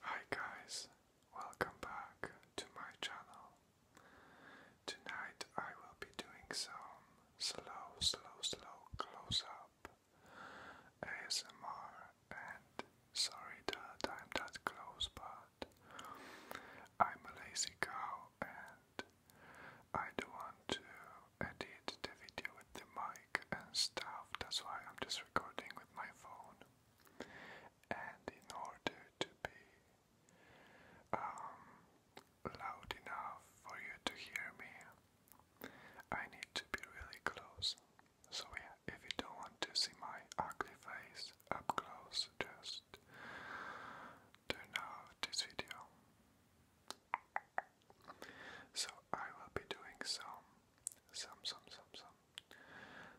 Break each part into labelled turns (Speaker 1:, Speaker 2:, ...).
Speaker 1: Hi guys, welcome back to my channel. Tonight I will be doing some slow, slow, slow close up ASMR and sorry that I'm that close, but I'm a lazy cow and I don't want to edit the video with the mic and stuff, that's why I'm just recording with my phone. And in order to be um, loud enough for you to hear me, I need to be really close. So, yeah, if you don't want to see my ugly face up close, just turn off this video. So I will be doing some, some, some, some, some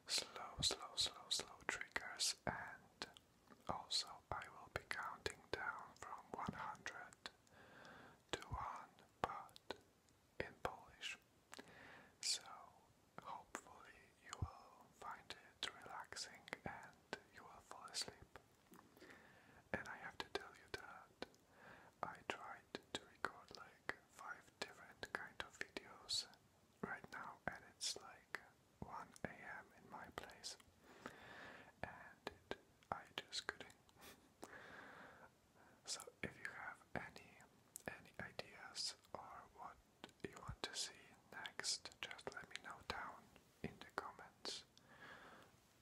Speaker 1: slow, slow, slow, slow triggers, and also I will be counting down from 100 to 1, but in Polish. So hopefully you will find it relaxing and you will fall asleep. And I have to tell you that I tried to record like five different kind of videos right now and it's like 1 a.m. in my place and I just couldn't. so if you have any any ideas or what you want to see next, just let me know down in the comments.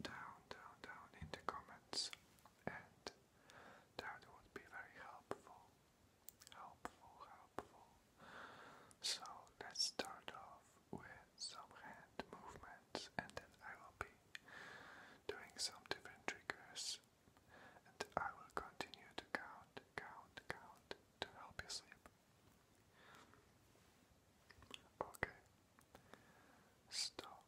Speaker 1: Down, down, down in the comments. And that would be very helpful. Helpful, helpful. So let's start off with some hand movements and then I will be doing some different triggers and I will continue to count, count, count to help you sleep. Okay. Stop.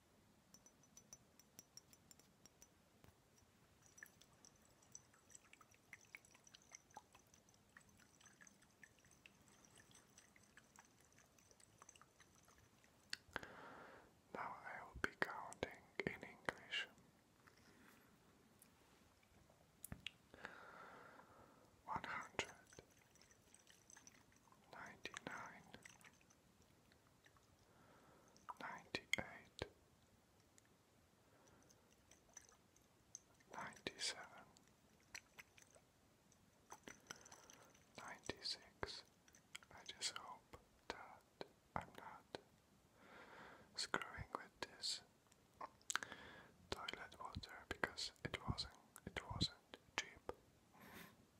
Speaker 1: Now I will be counting in English. One hundred ninety nine ninety-eight, ninety-seven, ninety-six. I just hope that I'm not screwing with this toilet water because it wasn't it wasn't cheap.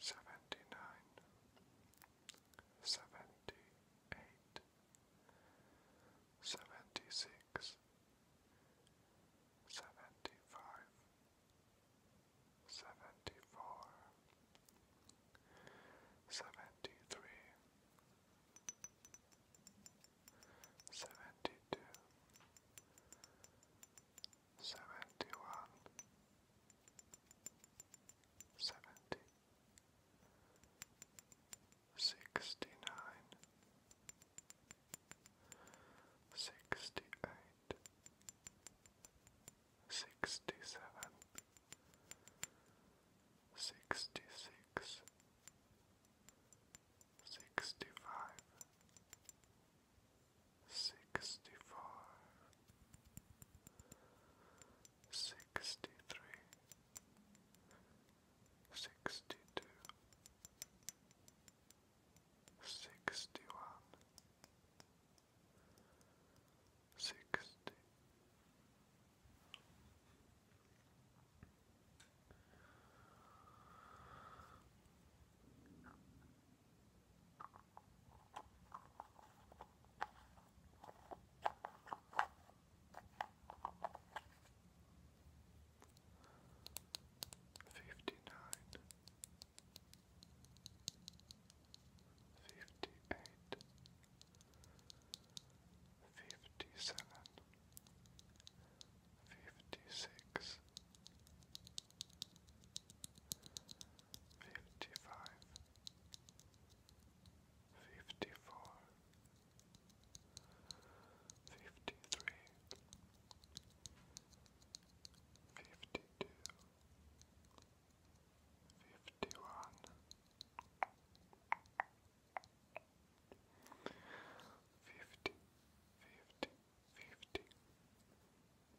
Speaker 1: seventy nine, seventy eight, seventy six, seventy five, seventy four, seventy three, seventy two. 73 seventy one, seventy, sixty nine, sixty eight, sixty seven, sixty six. Sixty five, sixty five, sixty three, sixty Fifty nine, fifty eight, fifty seven, fifty six, fifty-five, fifty-four, fifty-three, fifty-two, fifty-one, fifty, fifty, fifty. 51 Forty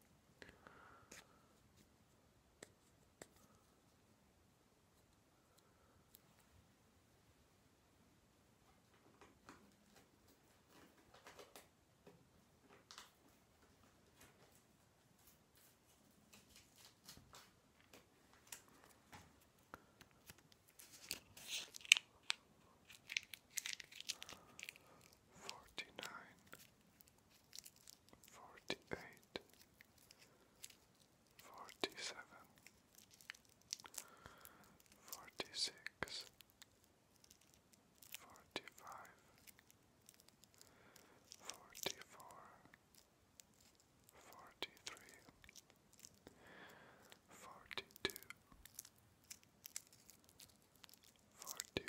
Speaker 1: nine forty-eight, forty-seven, forty-six, forty-five, forty-four, forty-three, forty-two, forty-one. 41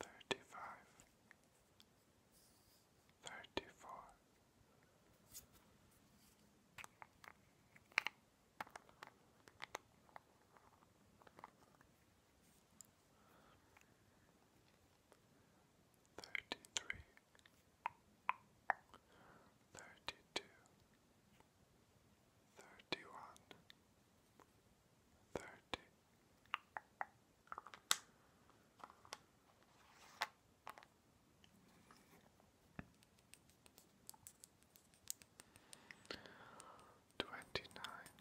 Speaker 1: thirty-five, thirty-four, thirty-three, thirty-two, thirty-one, thirty. Twenty nine.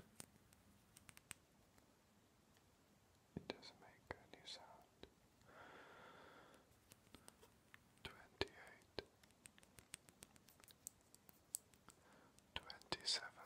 Speaker 1: It doesn't make any sound. Twenty eight. Twenty seven.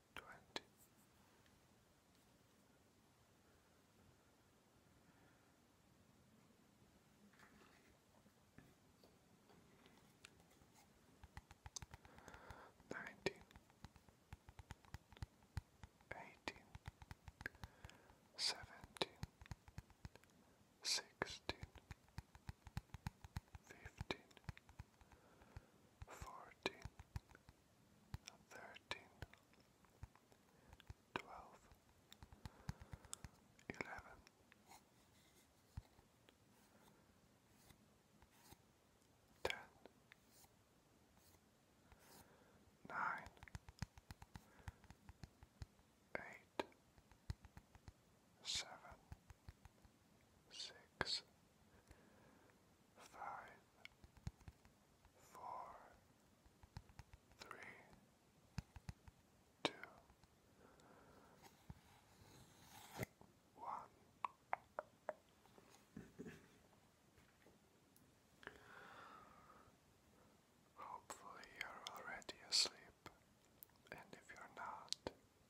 Speaker 1: twenty. Nineteen, eighteen, seventeen, sixteen, fifteen, fourteen, thirteen, twelve, eleven, ten, nine, eight, seven, six. 5 five, four, three, two, one. Hopefully, you're already asleep, and if you're not,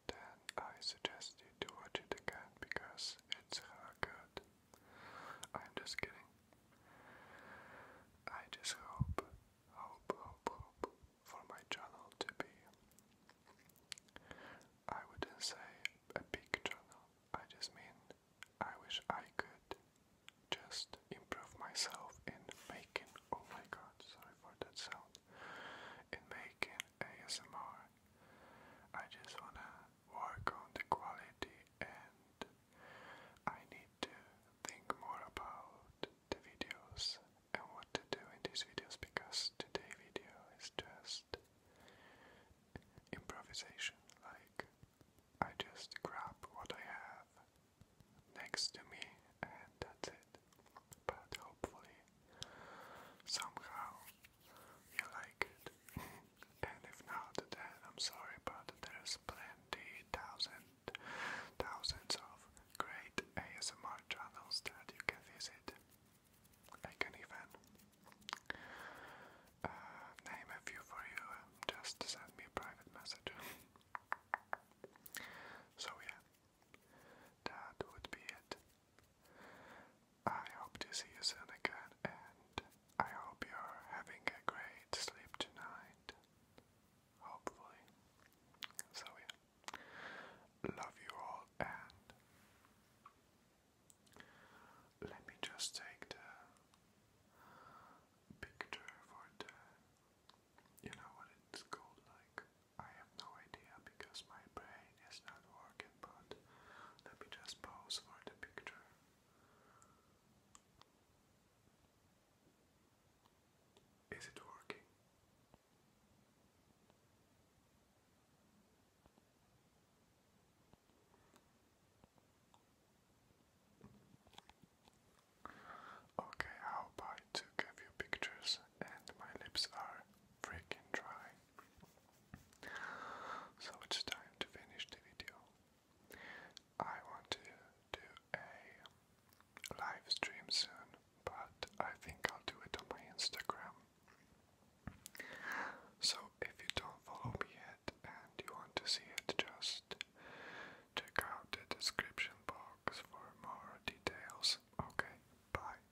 Speaker 1: then I suggest you do watch it again because it's her good. I'm just kidding. I just hope, hope, hope, hope for my channel to be, I wouldn't say a big channel, I just mean I wish I could just improve myself in making, oh my god, sorry for that sound, in making ASMR. I just wanna work on the quality and I need to think more about the videos and what to do in these videos because today video is just improvisation like I just grab what I have next to me and that's it but hopefully somehow you like it. and if not, then I'm sorry, but there's plenty, thousand, thousands of great ASMR channels that you can visit. I can even uh, name a few for you. Just send me a private message. so yeah, that would be it. I hope to see you soon again, and I hope you're having a great sleep tonight. Hopefully. So, yeah. Love you all, and let me just take the picture for the. You know what it's called? Like, I have no idea because my brain mine not working, but let me just pause for the picture. Is it working? Okay, how about to give you pictures and my lips are freaking dry. So it's time to finish the video. I want to do a live stream soon, but I think I'll do it on my Instagram. So if you don't follow me yet and you want to see it, just check out the description box for more details. Okay, bye.